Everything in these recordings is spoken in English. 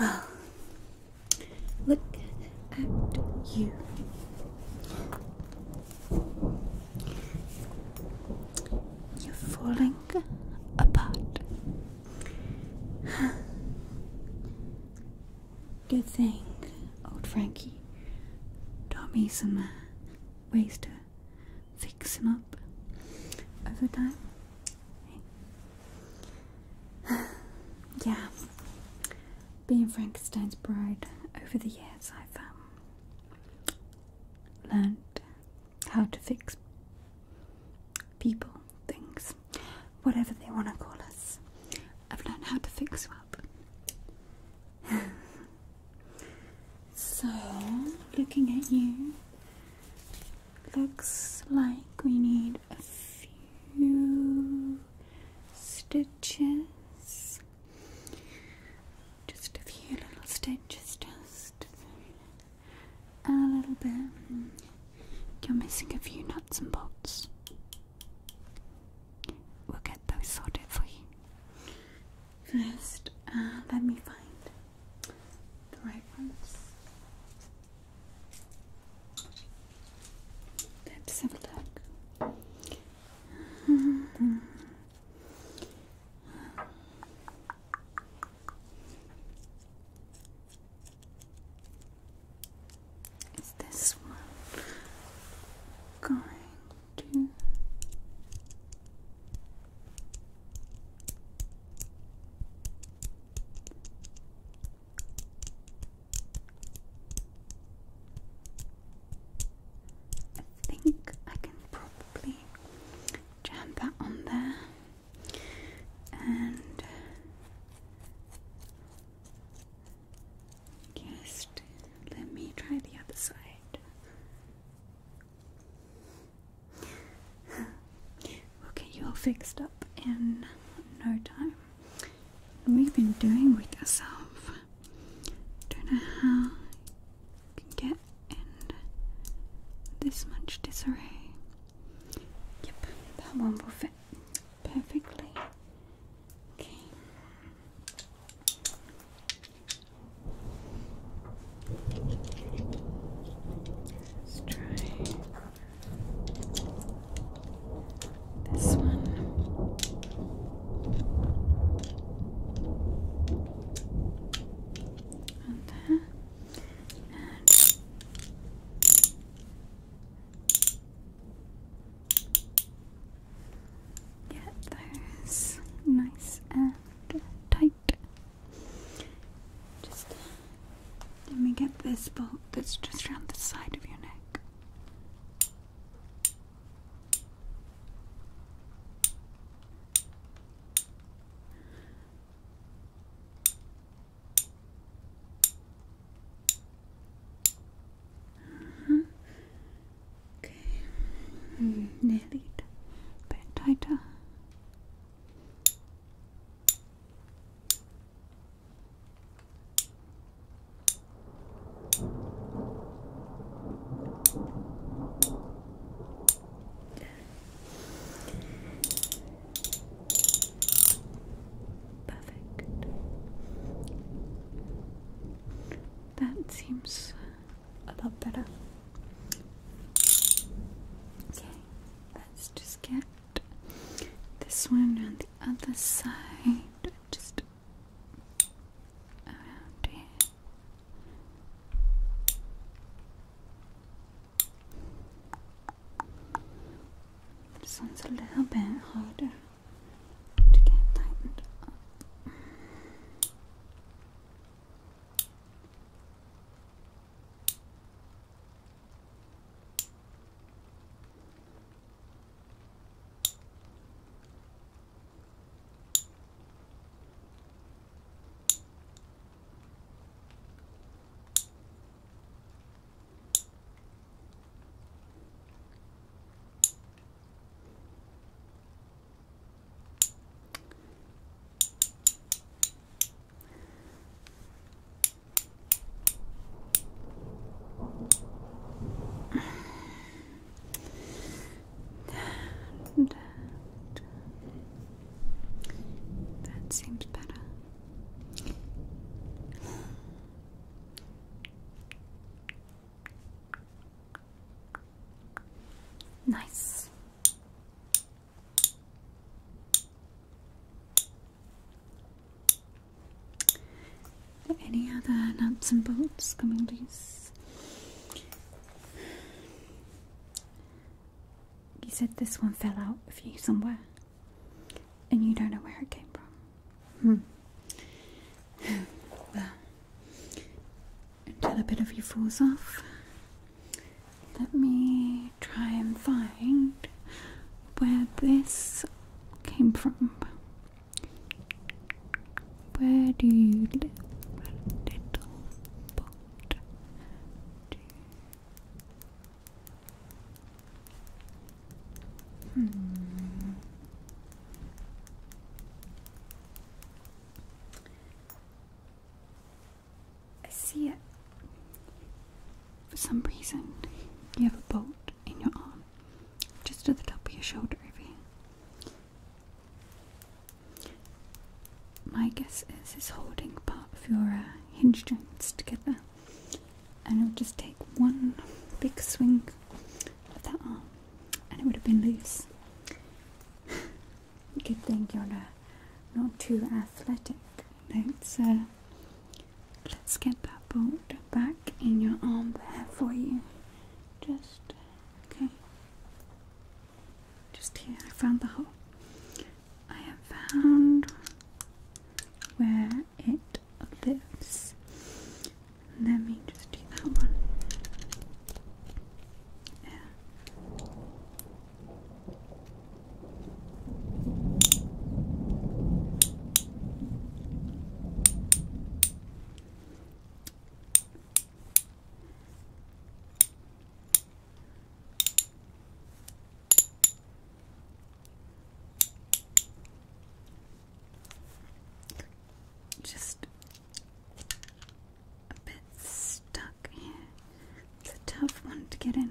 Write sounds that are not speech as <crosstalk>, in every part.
Well, look at you. You're falling apart. Good thing, old Frankie, taught me some uh, ways to fix him up over time. <sighs> yeah, being Frankenstein's bride over the years, I've um, learned how to fix people, things, whatever they want to call us. I've learned how to fix you up. <sighs> <laughs> So, looking at you, looks like we need a few stitches. Just a few little stitches, just a little bit. You're missing a few nuts and bolts. We'll get those sorted for you. First, uh, let me find the right ones. Let's have a look. Is this one going two. I think I can probably jam that on there and just let me try the other side. <laughs> We'll get you all fixed up in no time. We've been doing with ourselves. Don't know how you can get in this much disarray. Yep, that one will fit perfectly. Okay. Let's try this one. And that. Get those nice and tight. Just let me get this bolt that's just around the side of your neck. -hmm. Okay, mm, bit tighter. Perfect. That seems a lot better. Okay, let's just get this one on the other side. Just around here. This one's a little bit harder to get tightened up that seems better. Nice. Any other nuts and bolts coming loose? You said this one fell out of you somewhere, and you don't know where it came from. Hmm. <sighs> until a bit of you falls off, let me try and find where this came from. Where do you live, little pot? Hmm. I see it. For some reason, you have a bolt in your arm, just at the top of your shoulder My guess is it's holding part of your uh, hinge joints together and it would just take one big swing of that arm and it would have been loose. Good <laughs> thing you're not too athletic. so let's get that bolt back in your arm there for you. Just okay. Just here, I found the hole. I have found where it of this. Let me just do that one. Yeah. Just a bit stuck It's a tough one to get in.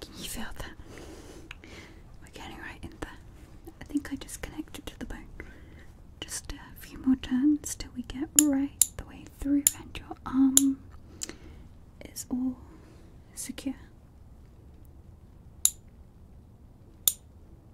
Can you feel that? We're getting right in there. I think I just connected to the bone. Just a few more turns till we get right the way through, and your arm is all secure.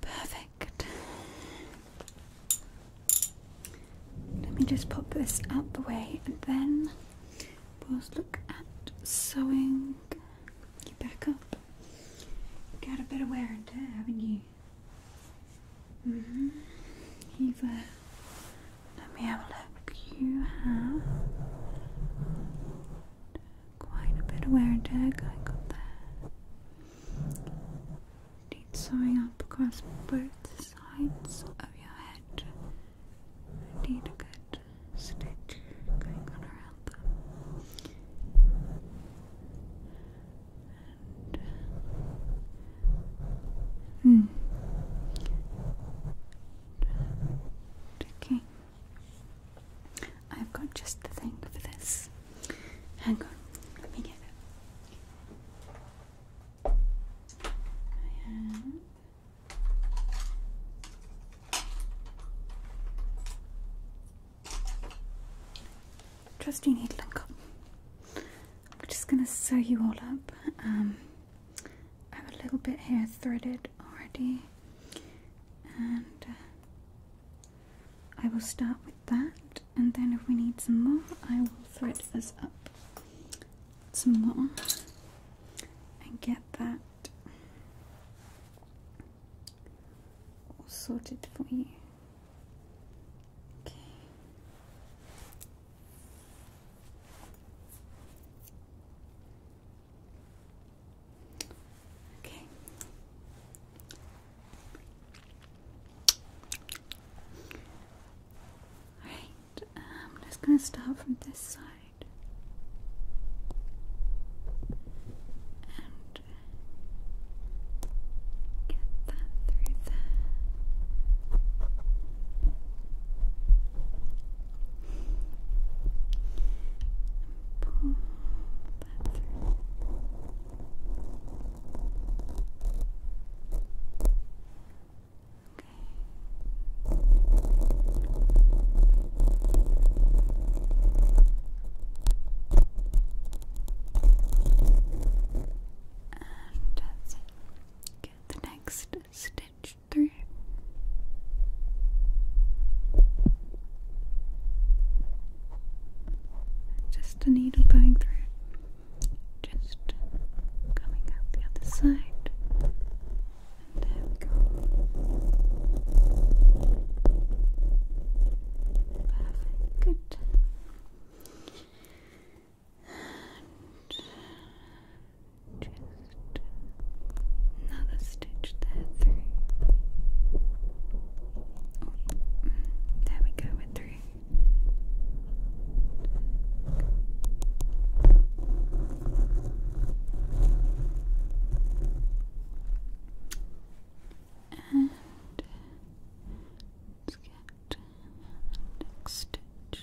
Perfect. Let me just pop this out the way and then we'll look at sewing you back up. Got a bit of wear and tear, haven't you? hmm. You've, uh, let me have a look. You have quite a bit of wear and tear going on there. Need sewing up across both sides of your head. need a good stitch going on around them. And, hmm. Taking I've got just the thing for this. Hang on, let me get it. I you needle and cotton. I'm just gonna sew you all up. Um, I have a little bit here threaded already, and uh, I will start with that, and then if we need some more, I will thread us up some more and get that all sorted for you. Okay. Okay. Alright, um, I'm just going to start from this side. And get that through there. pull Okay. And that's Get the next stitch through. Just a needle going through. Just coming out the other side. And there we go. Perfect. Good. And just another stitch that through. there we go, it through. And let's get next stitch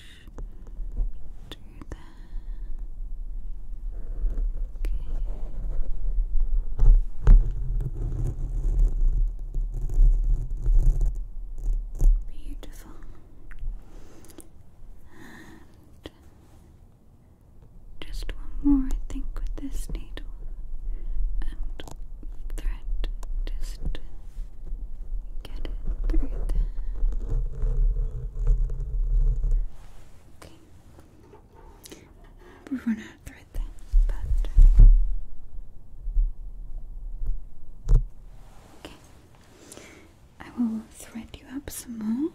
through there. Beautiful. And just one more, I think, with this needle and thread. Just get it through Okay we are run out of thread then, but uh, okay. I will thread you up some more.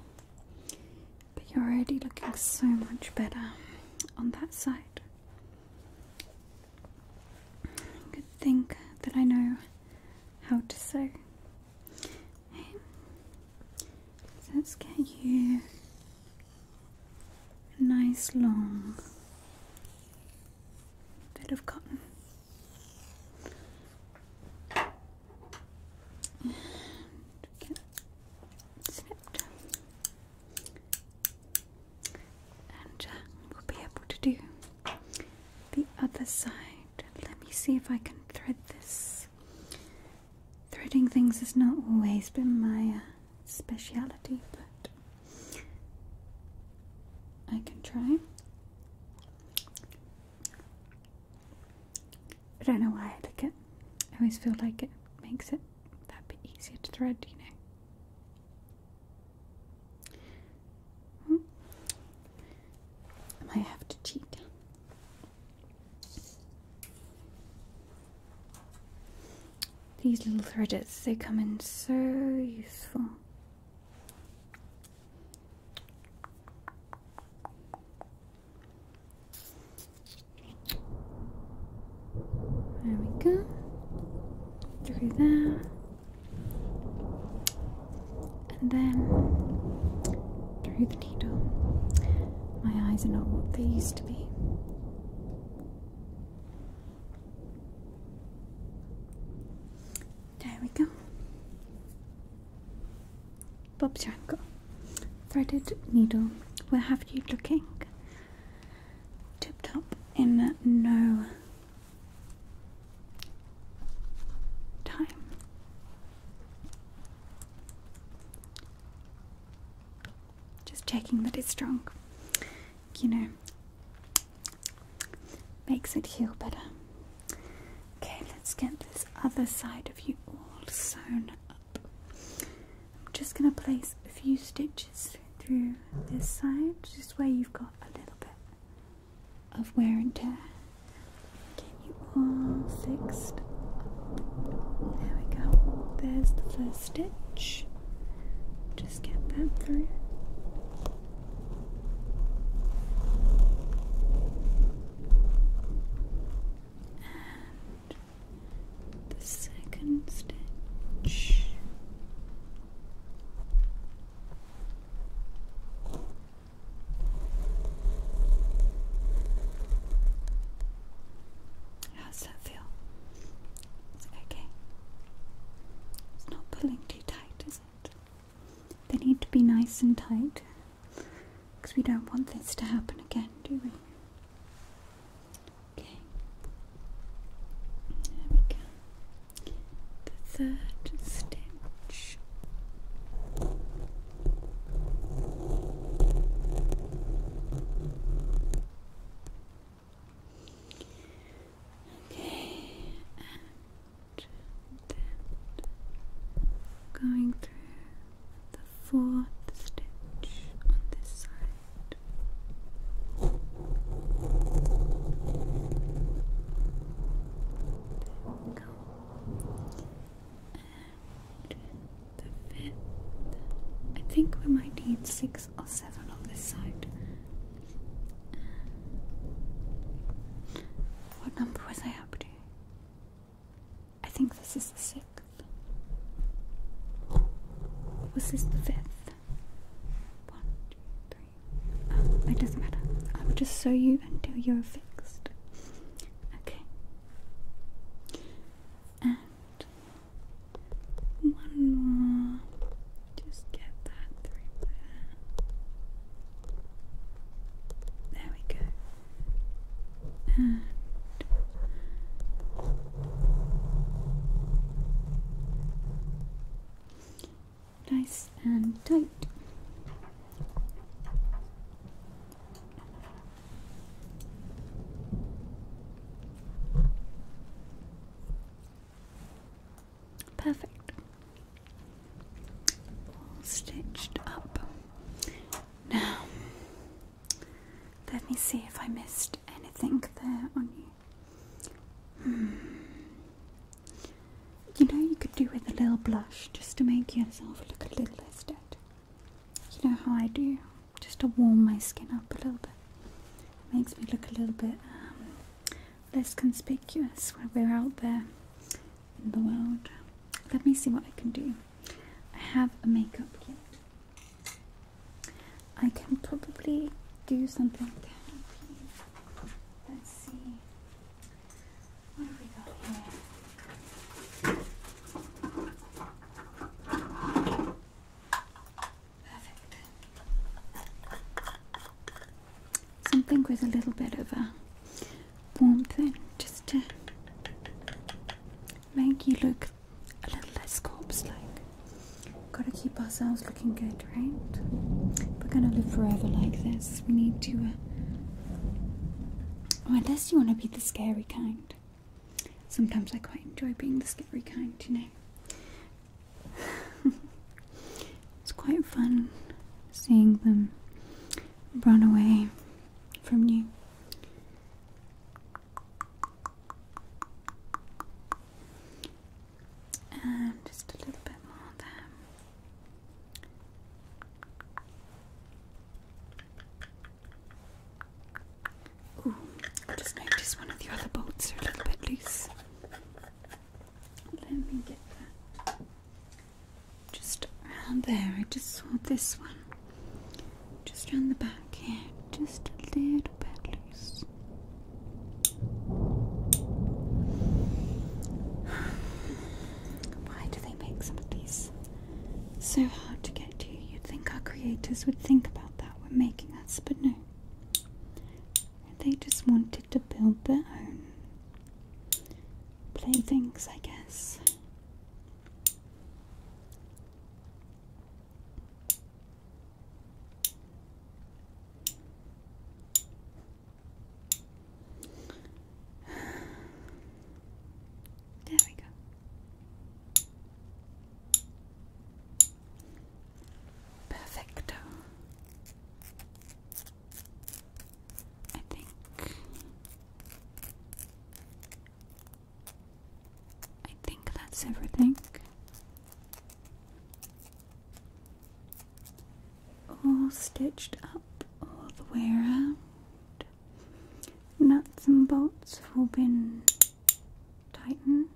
But you're already looking so much better on that side. I could think that I know how to sew let's get you a nice long bit of cotton. And get snipped. And we'll be able to do the other side. Let me see if I can thread this Threading things has not always been my uh, speciality, but I can try. I don't know why I like it. I always feel like it makes it that bit easier to thread, you know. Hmm. I might have to cheat. These little threaders, they come in so useful. There we go. Through there and then through the needle, my eyes are not what they used to be. There we go. Bob Janko. Threaded needle. Where have you looking? Tip top in no time. Just checking that it's strong. You know, makes it heal better. Okay, let's get this other side of you all sewn up. I'm just going to place a few stitches through this side, just where you've got a little bit of wear and tear. Get you all fixed up. There we go. There's the first stitch. Just get that through. And the second stitch. How does that feel? It's okay. It's not pulling too tight, is it? They need to be nice and tight because we don't want this to happen again, do we? Okay. There we go. The third stitch brush. Okay, and going through the fourth stitch on this side. There we go. I think we might need six or seven on this side. What number was I up to? I think this is the sixth. Was this the fifth? One, two, three. Oh, it doesn't matter. I will just sew you until you're fixed. Okay. And one more. Just get that there. we go. nice and tight. Perfect. stitched up. Now, let me see if I missed anything there on you. Hmm. You know, you could do with a little blush just to make yourself look a little less dead. You know how I do, just to warm my skin up a little bit. makes me look a little bit um, less conspicuous when we're out there in the world. Let me see what I can do. I have a makeup kit. I can probably do something Let's see. Perfect. Something with a little bit of a warmth in, just to make you look a little less corpse-like. Gotta keep ourselves looking good, right? We're gonna live forever like this. We need to I guess you want to be the scary kind. Sometimes I quite enjoy being the scary kind, you know. <laughs> it's quite fun seeing them run away from you. And just a little bit more there. Ooh, I just noticed one of the other bolts are a little bit loose. Let me get that. Just around there, I just saw this one. Just around the back here, just a little bit loose. <sighs> Why do they make some of these so hard to get to? You'd think our creators would think about that when making us, but no. They just wanted to build their own playthings, I guess. There we go. Perfecto. I think I think that's everything all stitched up all the way around. Nuts and bolts have all been tightened.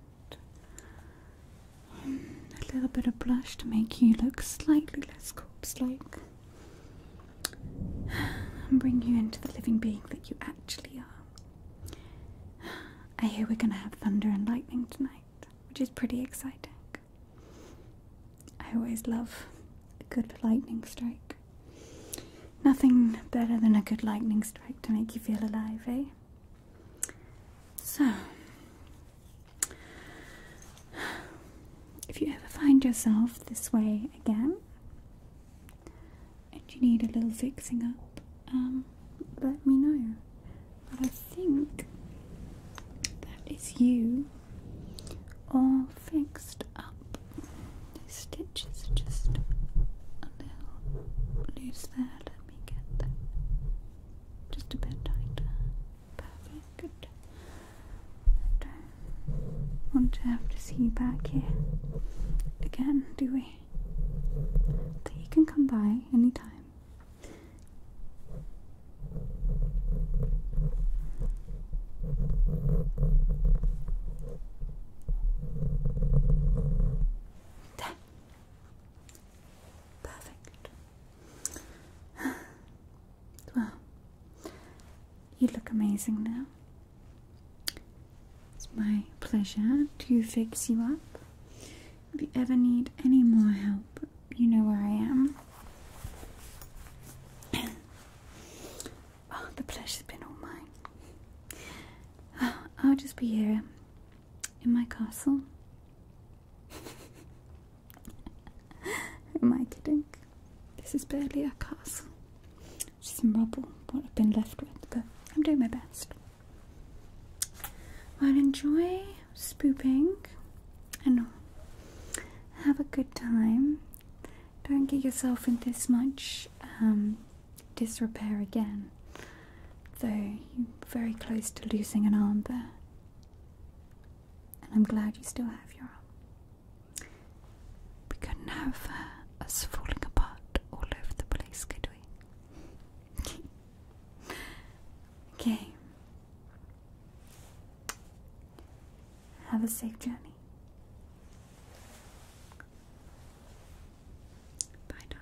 A little bit of blush to make you look slightly less corpse-like and bring you into the living being that you actually are. I hear we're going to have thunder and lightning tonight, which is pretty exciting. I always love a good lightning strike. Nothing better than a good lightning strike to make you feel alive, eh? So, if you ever find yourself this way again and you need a little fixing up, um, let me know. I think that is you all fixed up. The stitches are just a little loose there. Let me get them just a bit tighter. Perfect. don't want to have to see you back here again, do we? That you can come by anytime. There. Perfect. <sighs> Well, you look amazing now. It's my pleasure to fix you up. If you ever need any more help, you know where I am. oh, the pleasure's been all mine. Uh, I'll just be here in my castle. Am I kidding? This is barely a castle. Just some rubble, what I've been left with, but I'm doing my best. Well, enjoy spooping and have a good time. Don't get yourself in this much um, disrepair again, though you're very close to losing an arm there. And I'm glad you still have your arm. We couldn't have uh, us falling apart all over the place, could we? <laughs> okay, have a safe journey. Bye, Dawn.